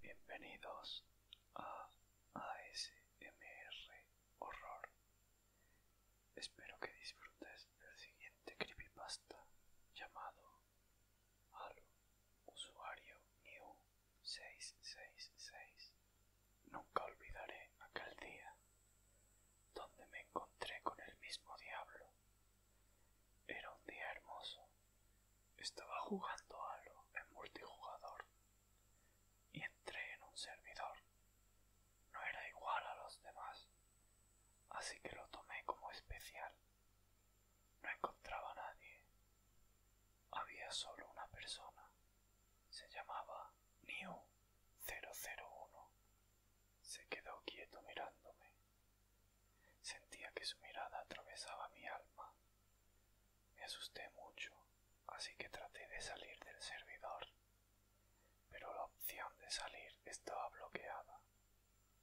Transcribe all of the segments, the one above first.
Bienvenidos a ASMR Horror. Espero que disfrutes del siguiente creepypasta llamado al Usuario New 666. Nunca olvidaré aquel día donde me encontré con el mismo diablo. Era un día hermoso. Estaba jugando Halo en multijugador y entré en un servidor. No era igual a los demás, así que lo tomé como especial. No encontraba a nadie había solo una persona. Se llamaba New 001. Se quedó quieto mirándome. Sentía que su mirada atravesaba mi alma. Me asusté mucho, así que traté de salir del servidor. Pero la opción de salir estaba bloqueada.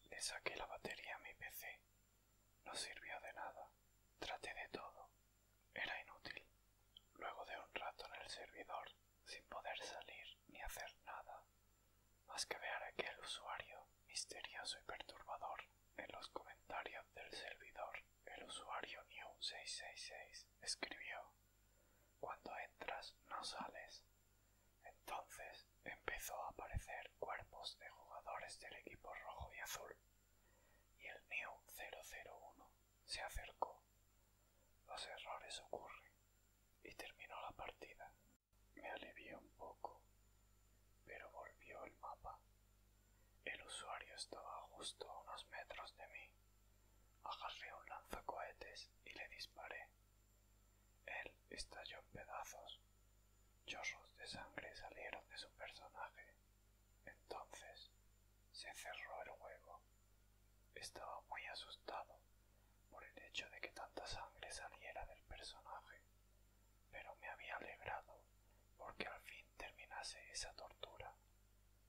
Le saqué la batería a mi PC no sirvió de nada. Traté de todo. Era inútil. Luego de un rato en el servidor, sin poder salir ni hacer nada, más que ver aquel usuario misterioso y perturbador en los comentarios del servidor, el usuario New666 escribió: Cuando entras, no sales. Entonces empezó a aparecer cuerpos de jugadores del equipo rojo y azul, y el neo 001 se acercó. Los errores ocurren y terminó la partida. Me alivié un poco, pero volvió el mapa. El usuario estaba justo a unos metros de mí. Agarré un lanzacohetes y le disparé. Él estalló en pedazos. Chorros de sangre salieron de su personaje. Entonces se cerró el juego. Estaba muy asustado por el hecho de que tanta sangre saliera del personaje, pero me había alegrado porque al fin terminase esa tortura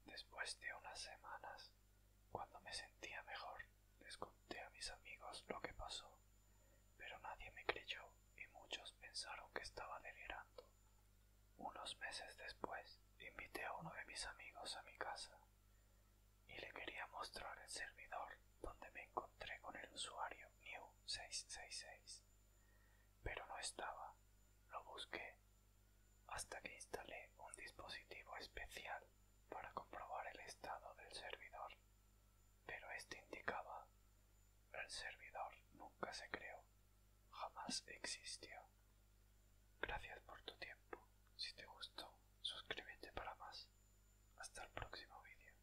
Después de unas semanas, cuando me sentía mejor, les conté a mis amigos lo que pasó, pero nadie me creyó y muchos pensaron que estaba delirando. Unos meses después, invité a uno de mis amigos a mi casa y le quería mostrar el servidor donde me encontré con el usuario New666, pero no estaba. Lo busqué hasta que instalé un dispositivo especial para comprobar el estado del servidor, pero este indicaba el servidor nunca se creó, jamás existió. Gracias por tu tiempo. Si te gustó, suscríbete para más. Hasta el próximo vídeo.